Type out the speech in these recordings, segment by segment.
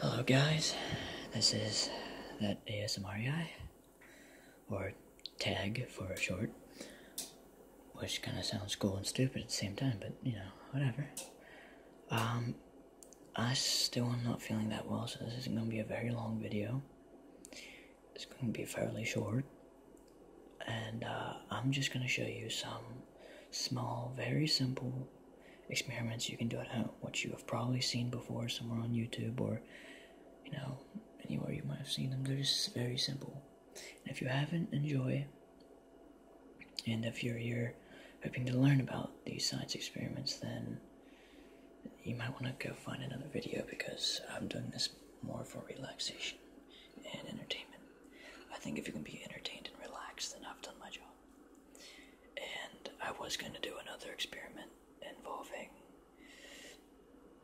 Hello, guys. This is that ASMR guy, or tag for short, which kind of sounds cool and stupid at the same time, but you know, whatever. Um, I still am not feeling that well, so this isn't going to be a very long video. It's going to be fairly short, and uh, I'm just going to show you some small, very simple experiments you can do at home, which you have probably seen before somewhere on YouTube or, you know, anywhere you might have seen them. They're just very simple. And if you haven't, enjoy. And if you're here hoping to learn about these science experiments, then you might want to go find another video because I'm doing this more for relaxation and entertainment. I think if you can be entertained and relaxed, then I've done my job. And I was going to do another experiment involving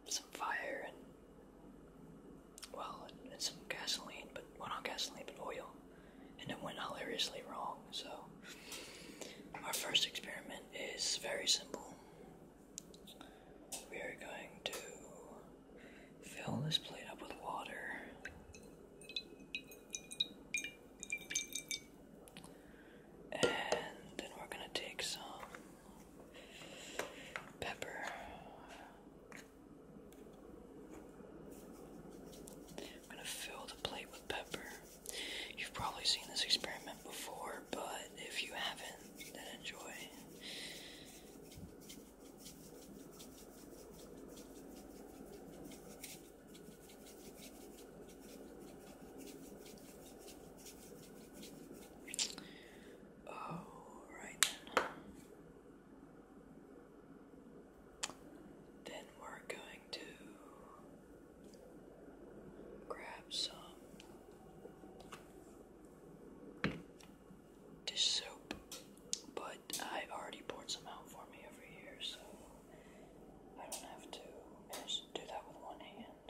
some fire and, well, and, some gasoline, but, not gasoline, but oil. And it went hilariously wrong, so. Our first experiment is very simple. We are going to fill this plate up with water and then we're going to take some pepper. I'm going to fill the plate with pepper. You've probably seen this experiment before, but if you haven't, then enjoy. Oh, then. Then we're going to grab some dish soap, but I already poured some out for me over here, so I don't have to. do that with one hand.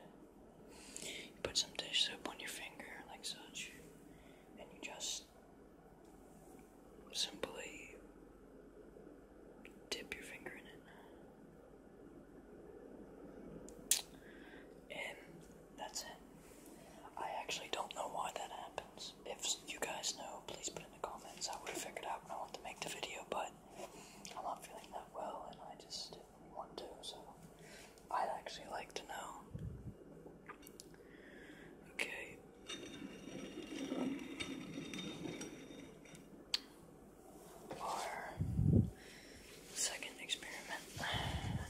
put some dish soap on your finger, like such, and you just simply dip your finger in it. And that's it. I actually don't know why that happens. If you guys know, please put in the comments. I would have figured out when I wanted to make the video, but I'm not feeling that well and I just didn't want to, so I'd actually like to know. Okay. Our second experiment,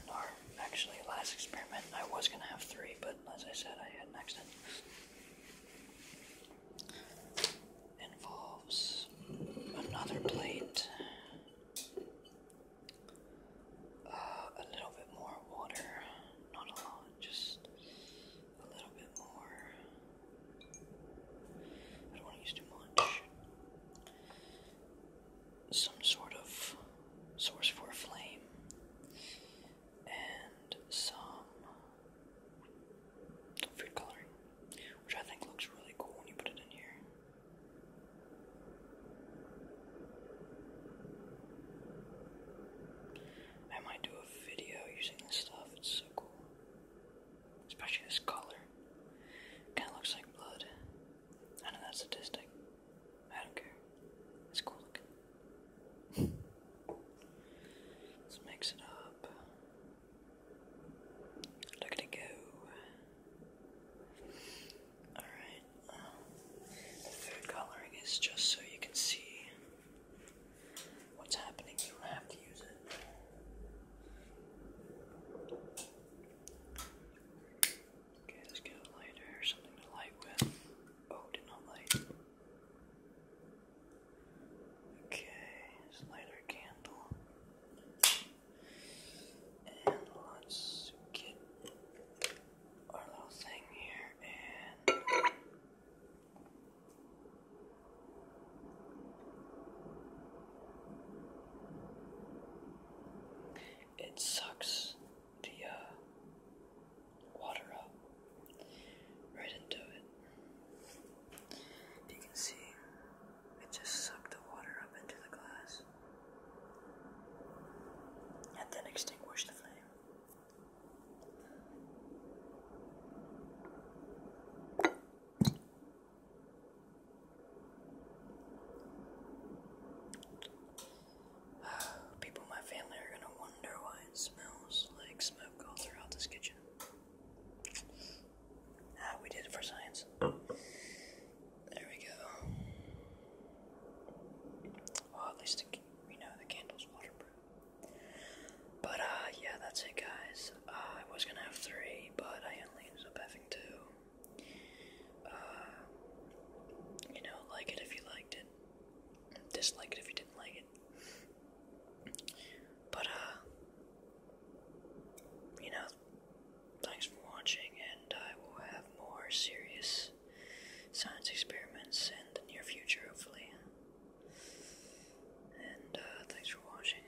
our Actually, last experiment I was gonna have three, but as I said, I had an accident. Involves another plate, uh, a little bit more water, not a lot, just a little bit more. I don't want to use too much some sort of source for a flame and some food coloring, which I think looks really cool when you put it in here. I might do a video using this stuff, it's so cool. Especially this color. Kinda looks like blood. I know that's sadistic, I don't care. It's cool looking. Let's mix it up. Look at it go. Alright. the food coloring is just so you can see what's happening. You don't have to use it. Okay, let's get a lighter or something to light with. Oh, did not light. Okay, let's light our candle. And let's get our little thing here and it sucks the uh, water up right into it. You can see it just sucked the water up into the glass and then extinguished the flame. People in my family are gonna wonder why it smells like smoke all throughout this kitchen. Ah, we did it for science. There we go. Well, at least we know the candle's waterproof. But, uh, yeah, that's it, guys. Uh, I was gonna have three, but I only ended up having two. Uh, you know, like it if you liked it, dislike it if you didn't like it. But, uh, you know, thanks for watching, and I will have more serious science experiments in the near future, hopefully. And, uh, thanks for watching.